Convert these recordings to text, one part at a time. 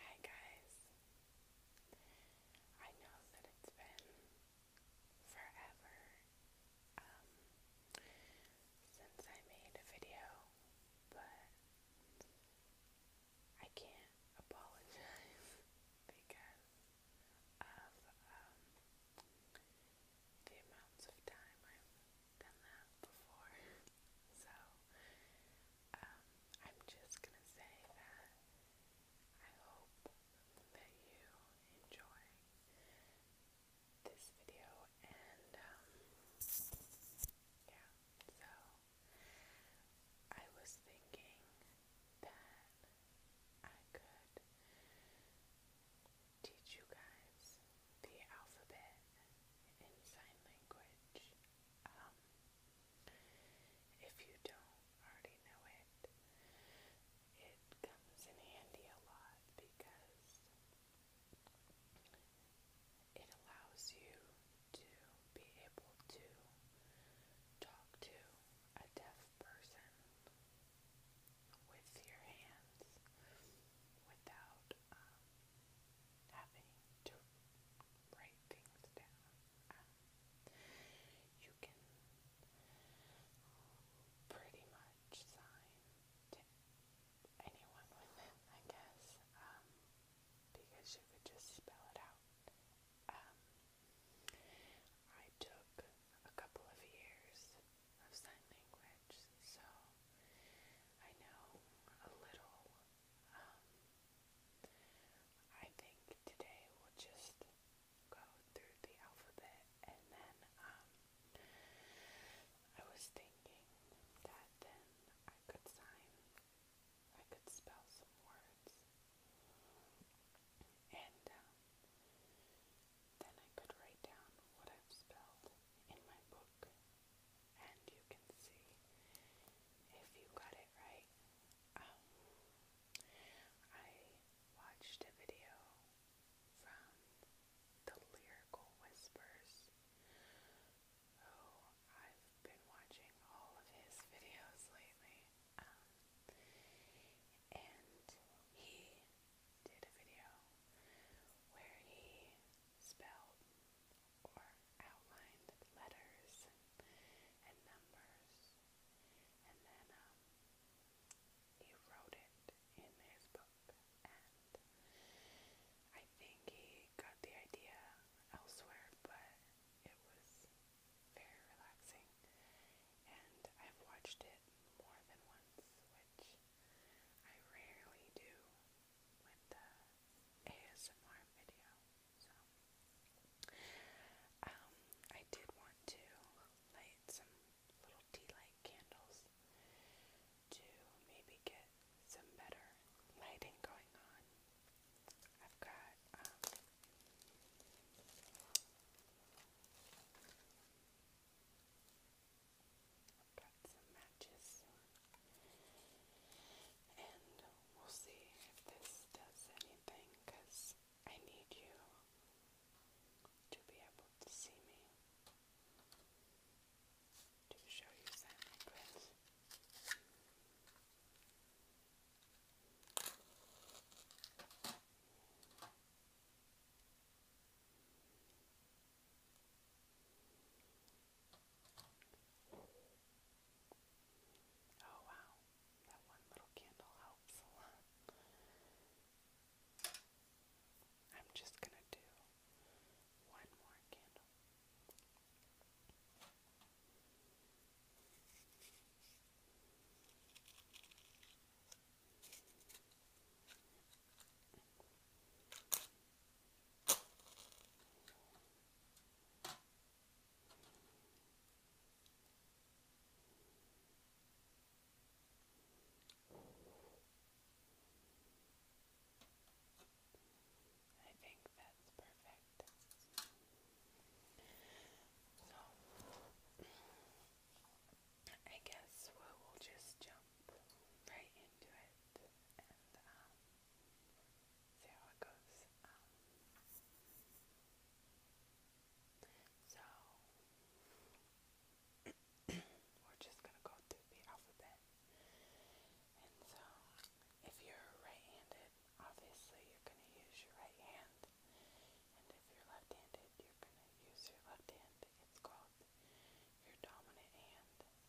Hi guys. I know that it's been forever um, since I made a video, but I can't apologize because of um, the amounts of time I'm done that before. So, um, I'm just gonna say that I hope that you enjoy this video and, um, yeah, so I was thinking that I could teach you guys the alphabet in sign language um, if you don't already know it, it comes in handy a lot because it allows you to be able to talk to a deaf person with your hands without um, having to write things down. you can pretty much sign to anyone with I guess, because you could just spell it out. I took a couple of years of sign language, so I know a little I think today we'll just go through the alphabet and then um, I was thinking that then I could sign, I could spell some words and um, then I could write down what I've spelled in my book and you can see if you got it right. Um, I watched a video from the Lyrical Whispers, who oh, I've been watching all of his videos lately, um, and he did a video where he spelled or outlined letters and, numbers, and then um, he wrote it in his book, and I think he got the idea elsewhere, but it was very relaxing, and I've watched it more than once, which I rarely do with the ASMR video. So, um, I did want to light some little tea light candles to maybe get some better lighting going on. I've got, um, Got some matches and we'll see if this does anything because I need you to be able to see me to show you Silent Oh, wow, that one little candle helps a lot. I'm just going to do one more candle. I think that's perfect. So, I guess we'll just jump right into it and um, see how it goes. Um, so we're just gonna go through the alphabet. And so, if you're right-handed, obviously you're gonna use your right hand, and if you're left-handed, you're gonna use your left hand. It's called your dominant hand.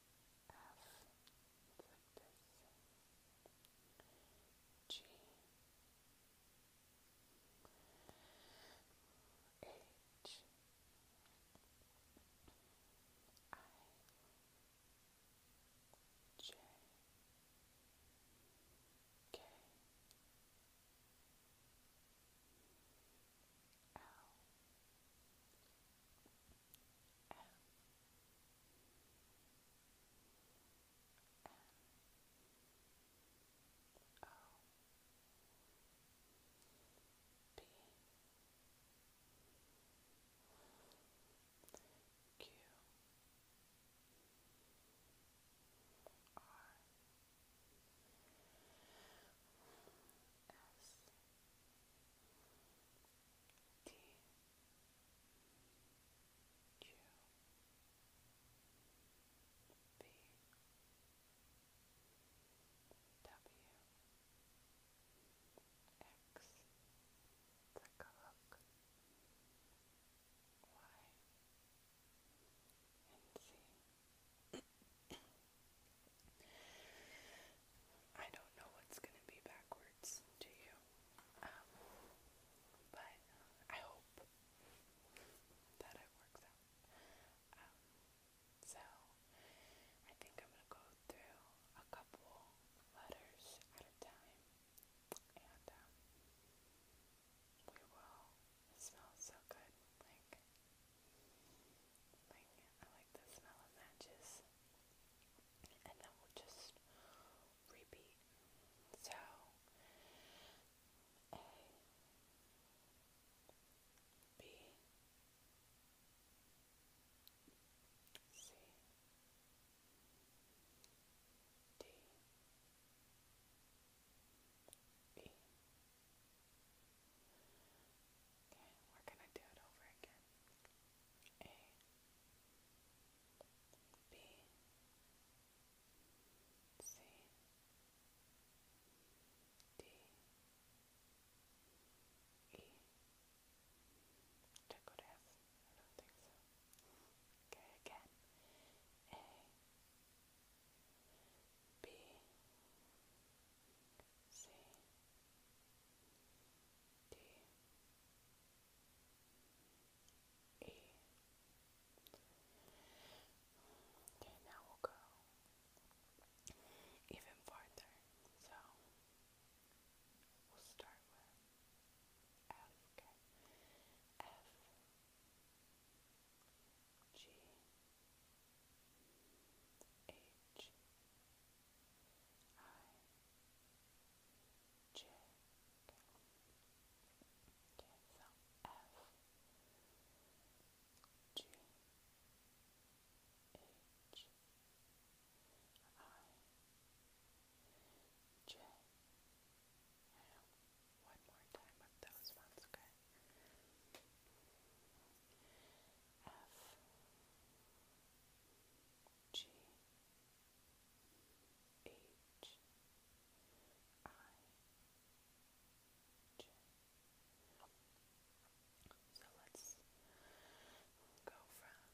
F, M N O P Q R S T Q B W X Take a look Y and Z I don't know what's going to be backwards to you. Um, but I hope that it works out. Um, so, I think I'm going to go through a couple letters at a time. And um, we will. It smells so good. Like, like, I like the smell of matches. And then we'll just repeat. So, A, B, C, D, E. Okay, we're gonna do it over again. A B C D E check what F I don't think so. Okay again A B C C D E. Okay, now we'll go even farther. So we'll start with F. I J. Okay, One more time with those ones, okay? F G G H I J. So let's go from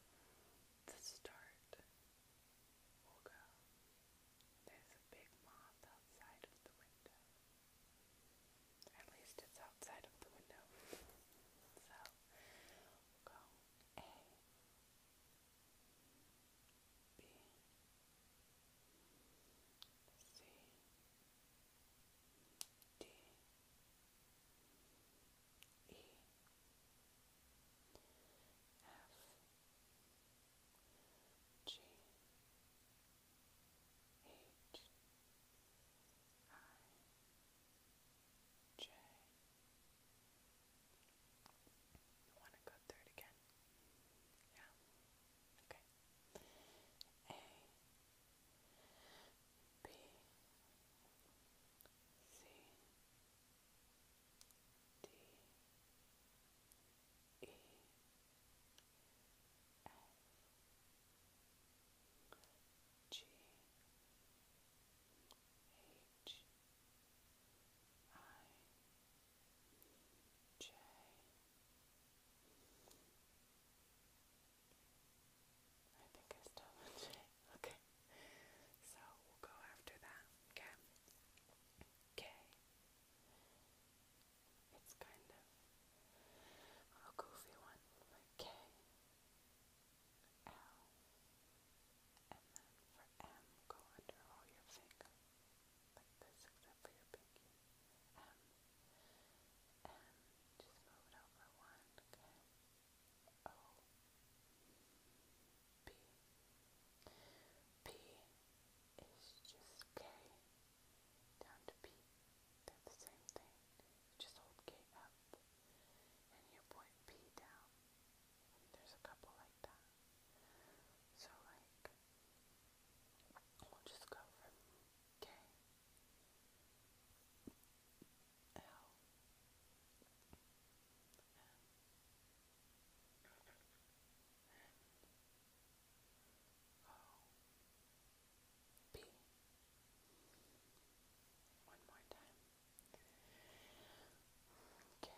the start. We'll There's a big moth outside of the window. At least it's outside of the window. So we J. You want to go through again? Yeah. Okay. A. B. C. D. E. F. G. G H I J I think I still have J. Okay. So we'll go after that. Okay. K. It's kind of a goofy one. Like L. And then for M, go under all your finger, like this, except for your pinky. M. M, just move it over one, okay? O. P. P just K down to P. They're the same thing which hold K up, and you point P down. there's a couple like that. So like, we'll just go from K, L, N, N, O, B. One more time. K. L. M. N. O. B.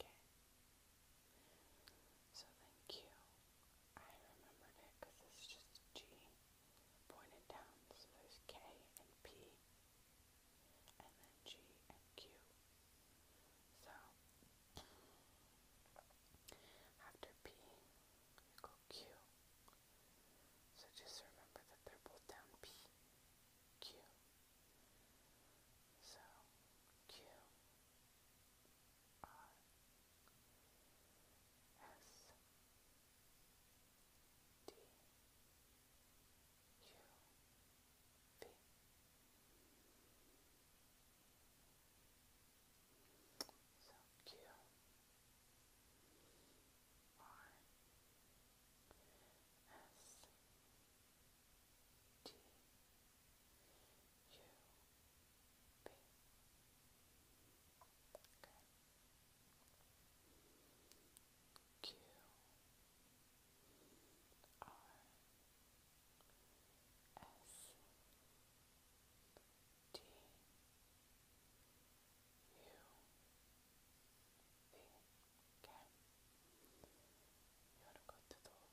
Okay. So thank you I remembered it because it's just G pointed down, so there's K and P, and then G and Q. So, after P, go Q. So just remember that they're both down P, Q. So, Q, R, S D U V so Okay. Q R S T U V. Okay. You want to go through the whole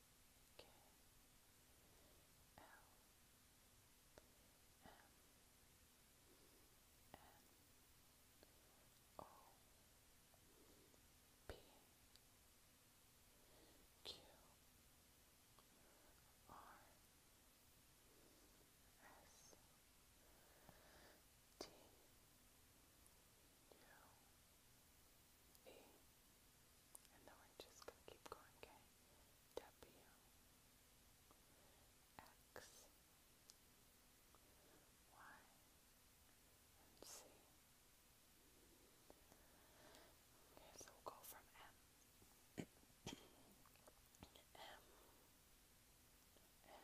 K L M N O P Q R S T U E and then we're just going to keep going, okay? W, X, Y, and C. Okay, so we'll go from M. M, N, O,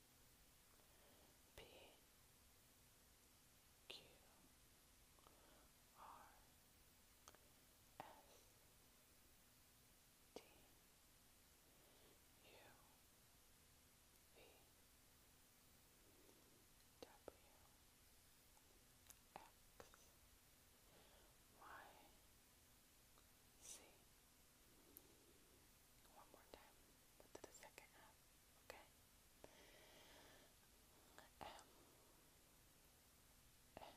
P Q R S T U V W X Y C one more time, but to the second half. Okay. M N O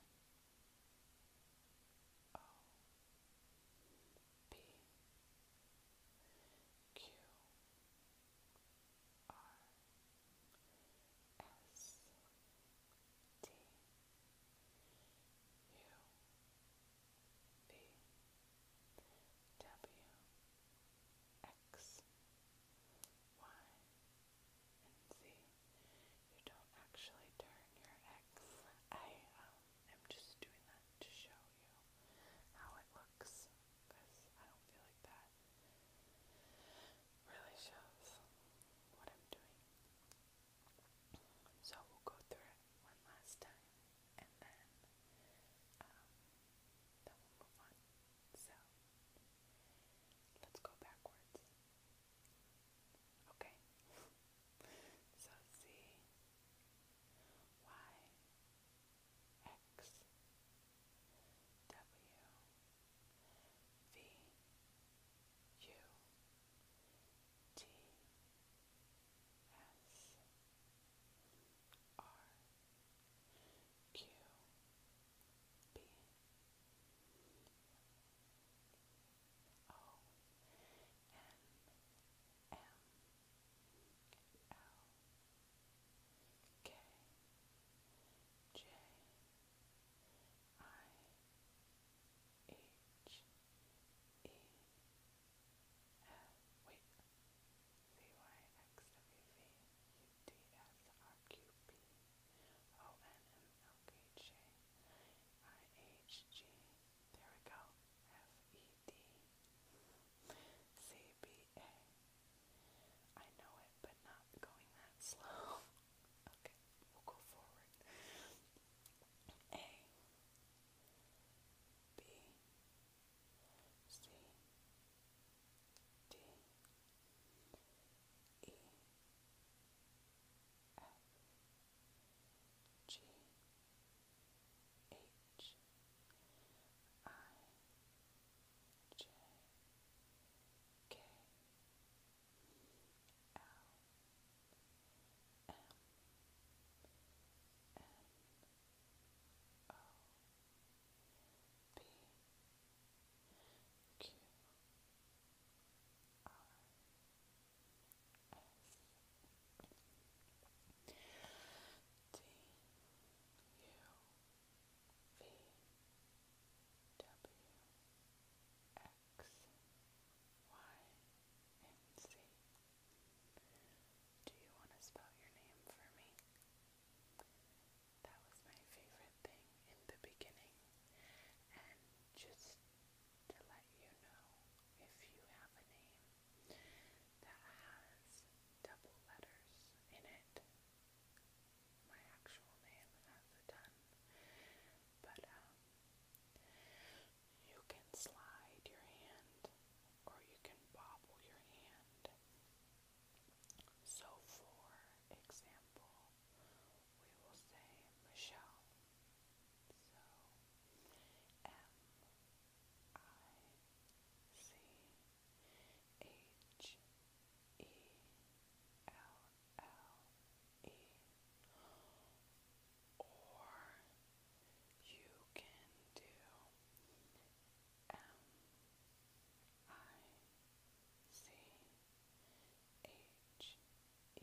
P Q R S T U V W B W X Y and Z. You don't actually turn your X. I am just doing that to show you how it looks because I don't feel like that really shows what I'm doing. So we'll go through it one last time and then um, then we'll move on. So let's go backwards. Okay. so C Y X W V U T S R Q B O N M L K J I H E R uh, wait. There we go. F-E-D C-B-A I know it, but not going that slow. okay, we'll go forward. A B C D E F G H I J K L M N O P Q R S T U V W X Y and Z. Do you want to spell your name for me? That was my favorite thing in the beginning. And just to let you know, if you have a name that has double letters in it, my actual name has a ton. But, um, you can slide your hand or you can bobble your hand. So, for example, we will say Michelle. So, M I C H E L L E or you can do M I C H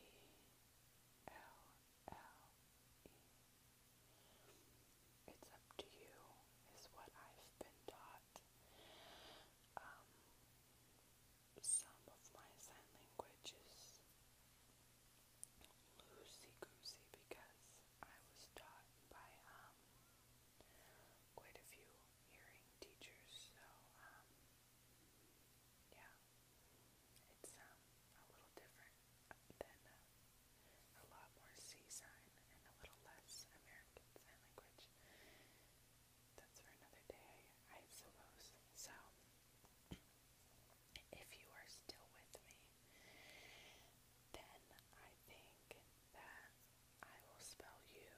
E L L E. It's up to you, is what I've been taught. Um, some of my sign language loosey-goosey because I was taught by um, quite a few hearing teachers, so um, yeah, it's um, a little different than uh, a lot more C-sign and a little less American Sign Language. That's for another day, I suppose. So, if you are still with me, then I think that I will spell you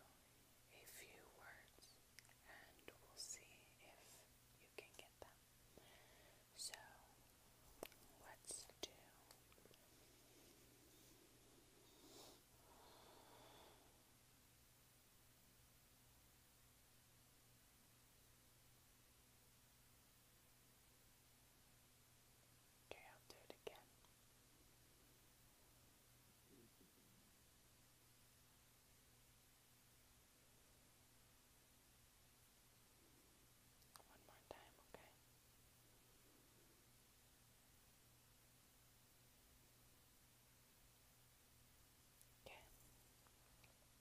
a few words and we'll see if you can get them. So, let's do. Okay, I'll do it again. One more time, okay? Okay.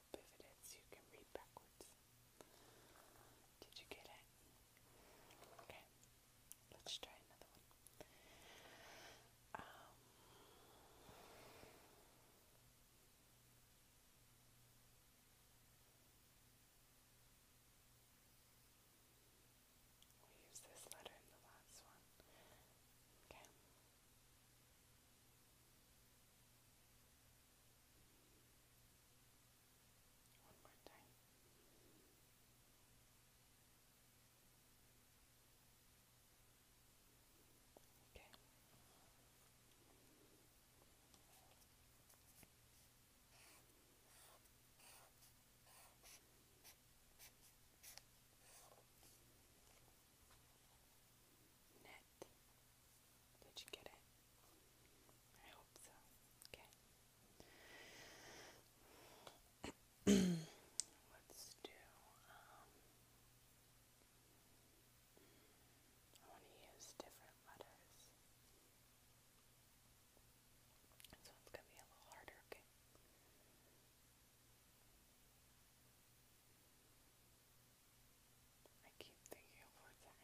slope if it is. You can read backwards. Did you get it? Okay. Let's try another one. Um, we used this letter in the last one. Okay. One more time. Okay. Next, it? Did you get it? I hope so. Okay. Let's do. Um, I want to use different letters. So it's going to be a little harder, okay? I keep thinking of where to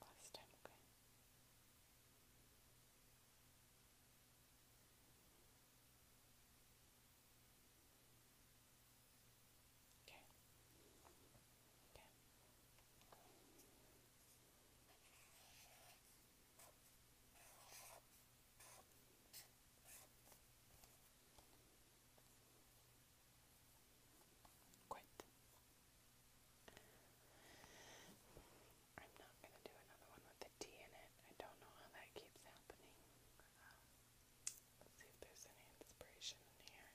Last time, okay. Okay. Okay. Quit. I'm not going to do another one with the T in it. I don't know how that keeps happening. Uh, let's see if there's any inspiration in here.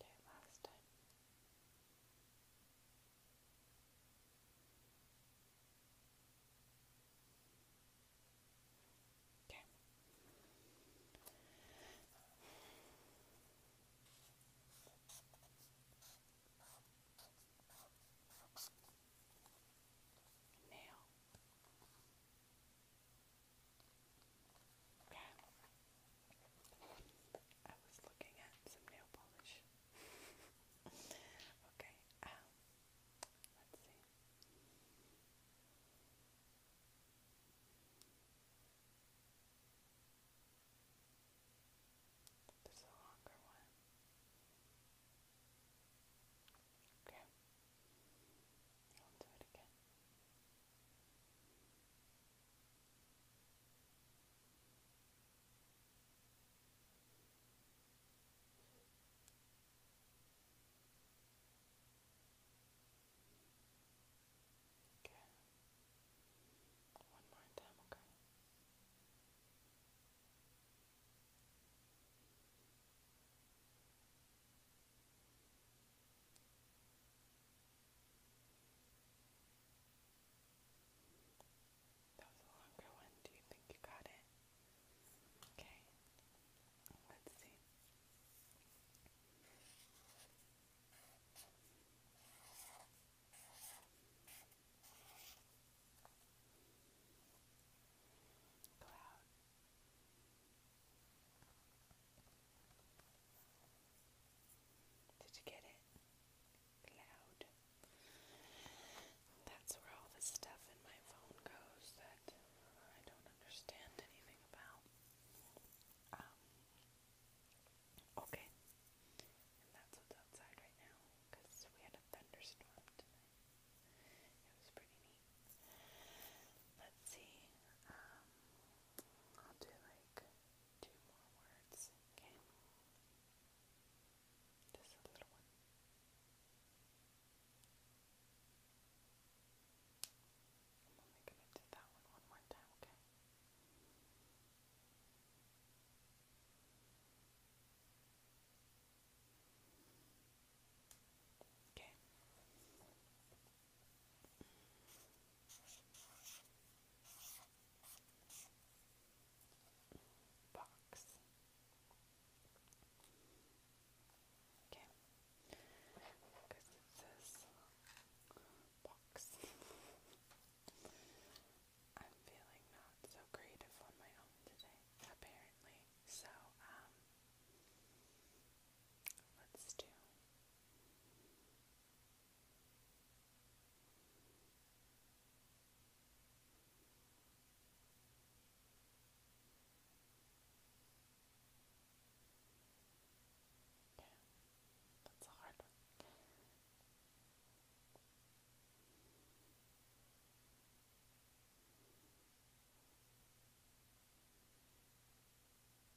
did it last time. Okay. Nail. I was looking at some nail polish. okay, um, let's see. There's a longer one. Okay. I'll do it again. Okay. One more time, okay. Okay. That was a longer one. Do you think you got it? Okay. Let's see. Cloud. Did you get it? Cloud. That's where all the stuff in my phone goes that I don't understand anything about. Um, okay. And that's outside right now because we had a thunderstorm tonight. It was pretty neat. Let's see. Um, I'll do like two more words, okay? Just a little one. I'm gonna do that one one more time, okay? Okay box. Okay, because it says box. I'm feeling not so creative on my own today, apparently. So, um, let's do yeah, that's a hard one. Yeah, one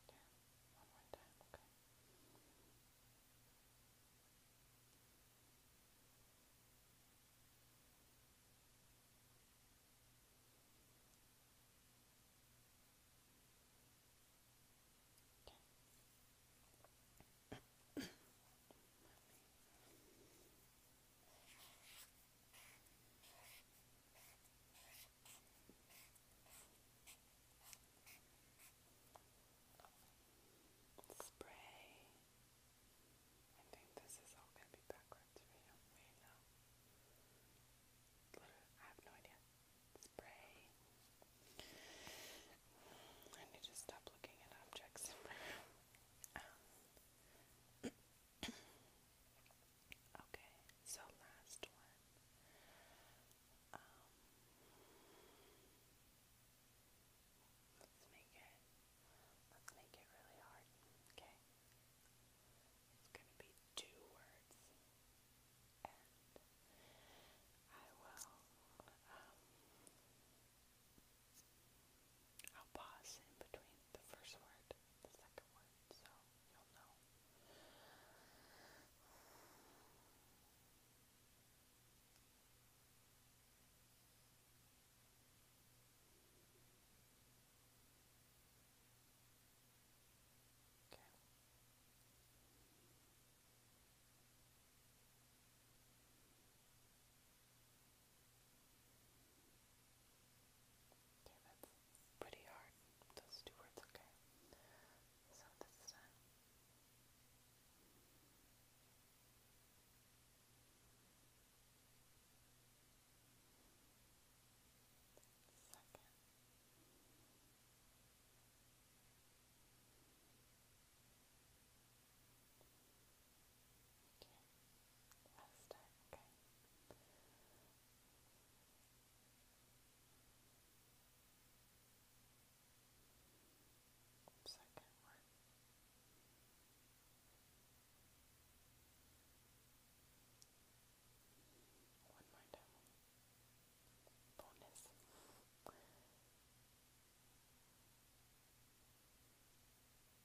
more time, okay. Okay. Spray. I think this is all going to be backwards for you. Wait, no. I have no idea. Spray. I need to stop looking at objects. Um, Okay, so last one. Um, let's make it. Let's make it really hard. Okay. It's gonna be two words, and I will. Um, I'll pause in between the first word, the second word, so you'll know. Okay. Okay, that's pretty hard, those two words, okay. So this uh, Second. Last time, okay. Second one. One more time. Bonus.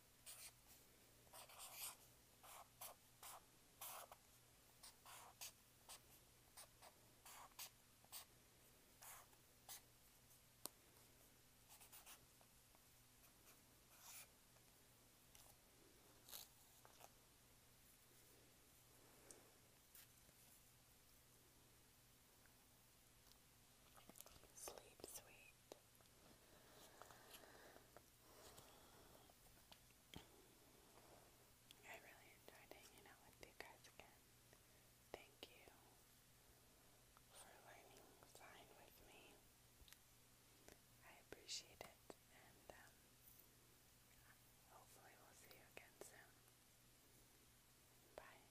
Sleep sweet. I really enjoyed hanging out with you guys again. Thank you for learning sign with me. I appreciate it, and um, hopefully, we'll see you again soon. Bye.